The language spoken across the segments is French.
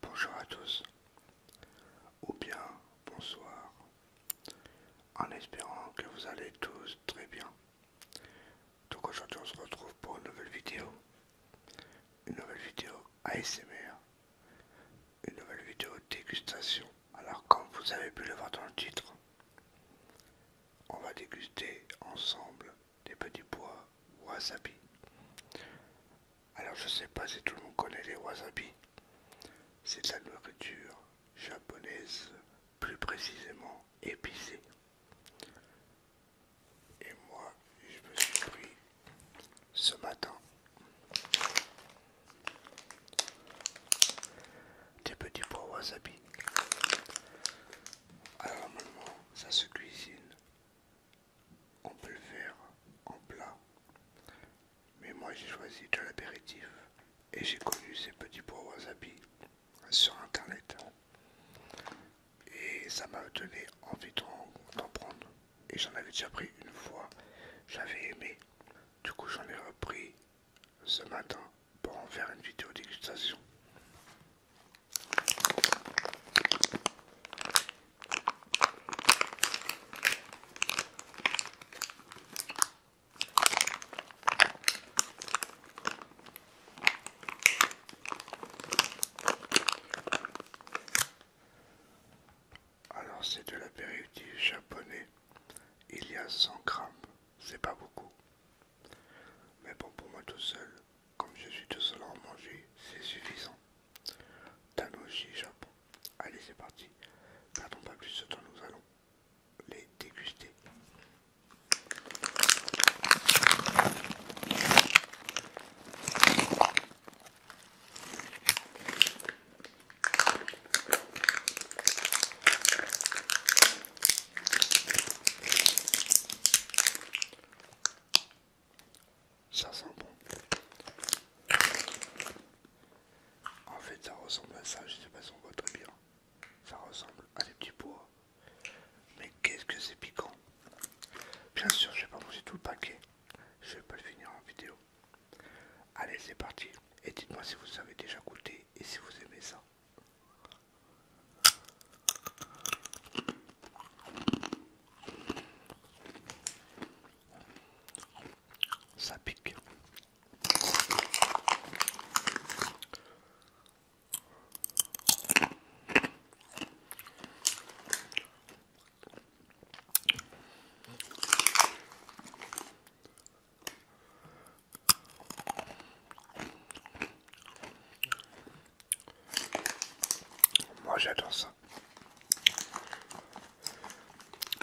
Bonjour à tous, ou bien bonsoir, en espérant que vous allez tous très bien. Donc aujourd'hui on se retrouve pour une nouvelle vidéo, une nouvelle vidéo ASMR, une nouvelle vidéo dégustation. Alors comme vous avez pu le voir dans le titre, on va déguster ensemble des petits pois wasabi. Alors je ne sais pas si tout le monde connaît les wasabi. C'est de la nourriture japonaise, plus précisément épicée. Et moi, je me suis pris ce matin des petits pois wasabi. Alors normalement ça se cuisine. On peut le faire en plat. Mais moi j'ai choisi de l'apéritif. Et j'ai connu ces petits à wasabi sur internet. Et ça m'a donné envie d'en prendre. Et j'en avais déjà pris une fois. J'avais aimé. Du coup j'en ai repris ce matin pour en faire une vidéo dégustation. Alors c'est de l'apéritif japonais, il y a 100 grammes, c'est pas beaucoup, mais bon, pour moi tout seul, comme je suis tout seul à en manger, c'est suffisant. nos Japon. Allez, c'est parti. Perdons pas plus de temps, nous allons les déguster. Ça sent bon. En fait, ça ressemble à ça. Je sais pas si on voit très bien. Ça ressemble à des petits pois. Mais qu'est-ce que c'est piquant! Bien sûr, je vais pas manger tout le paquet. Je vais pas le finir en vidéo. Allez, c'est parti. Et dites-moi si vous avez déjà goûté et si vous aimez ça. Ça pique. Moi j'adore ça.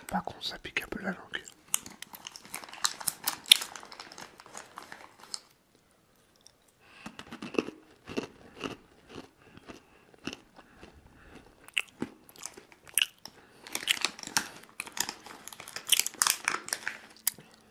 Par contre ça pique un peu la langue.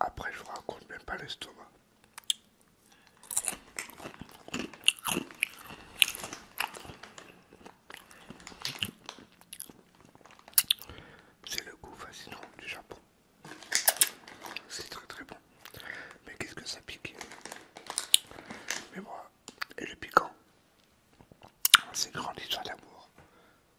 Après, je vous raconte même pas l'estomac. C'est le goût fascinant du Japon. C'est très très bon. Mais qu'est-ce que ça pique Mais moi, et le piquant, c'est grande histoire d'amour.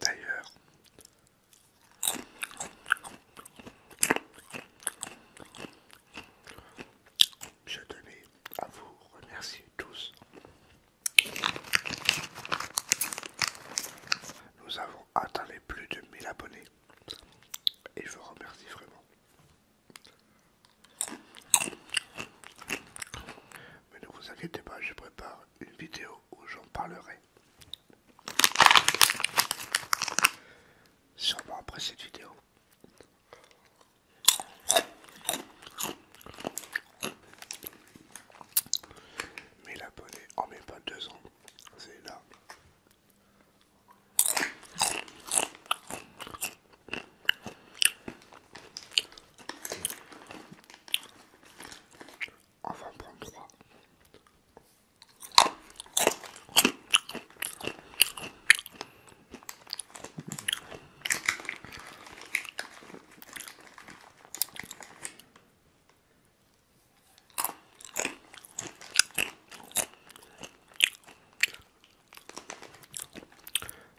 D'ailleurs, je tenais à vous remercier tous. Nous avons atteint les plus de 1000 abonnés et je vous remercie vraiment. Mais ne vous inquiétez pas, je prépare une vidéo où j'en parlerai. Sûrement après cette vidéo. Mais la bonne en oh, même pas deux ans. C'est là on va prendre trois.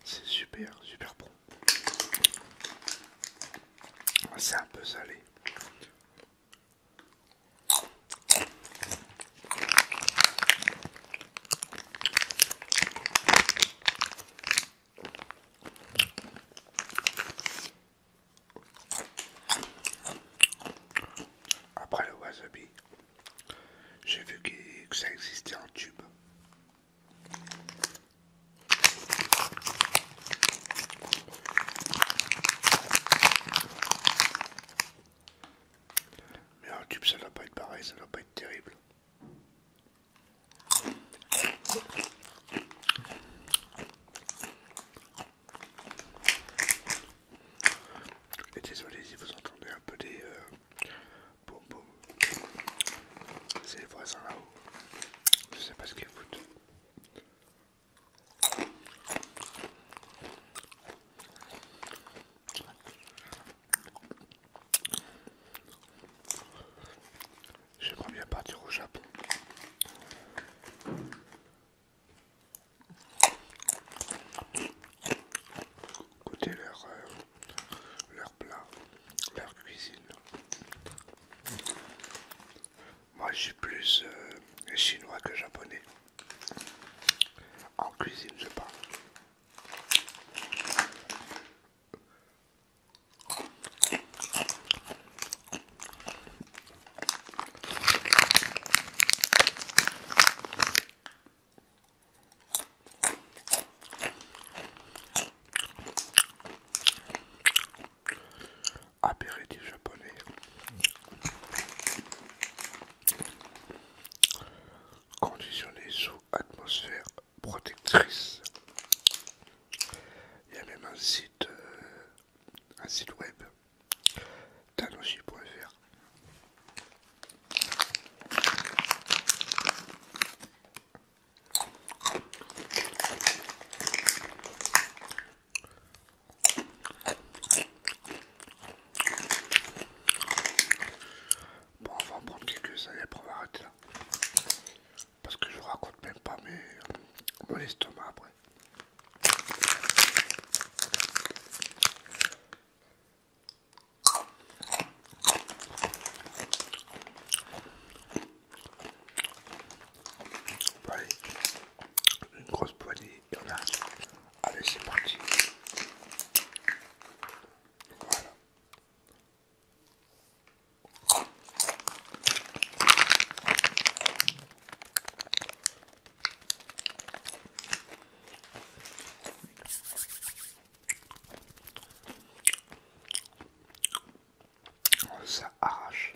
C'est super, super bon. C'est un peu salé. Après le wasabi, j'ai vu que ça existait en tube. Mais un tube, ça va pas être pareil, ça doit pas être terrible. Et désolé si vous entendez un peu des euh, boum boum. C'est les voisins là-haut. Je sais pas ce qu'ils foutent. J'aimerais bien partir au Japon. Goûter euh, leur plat, leur cuisine. Moi, je plus euh, chinois que japonais. En cuisine, je parle apéritif japonais. Conditionné sous atmosphère protectrice. Il y a même un site, euh, un site web, tanoshi.fr. Bon, on va en prendre quelques années et là. Parce que je raconte même pas mes, mon estomac après une grosse poignée, y en a. Allez, c'est parti. Ça arrache.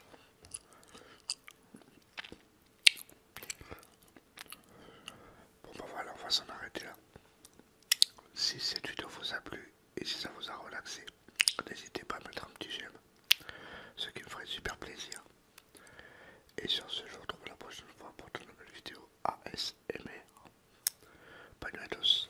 Bon bah voilà, on va s'en arrêter là. Si cette vidéo vous a plu et si ça vous a relaxé, n'hésitez pas à mettre un petit j'aime, ce qui me ferait super plaisir. Et sur ce, je vous retrouve la prochaine fois pour une nouvelle vidéo ASMR. Bye nuit à tous.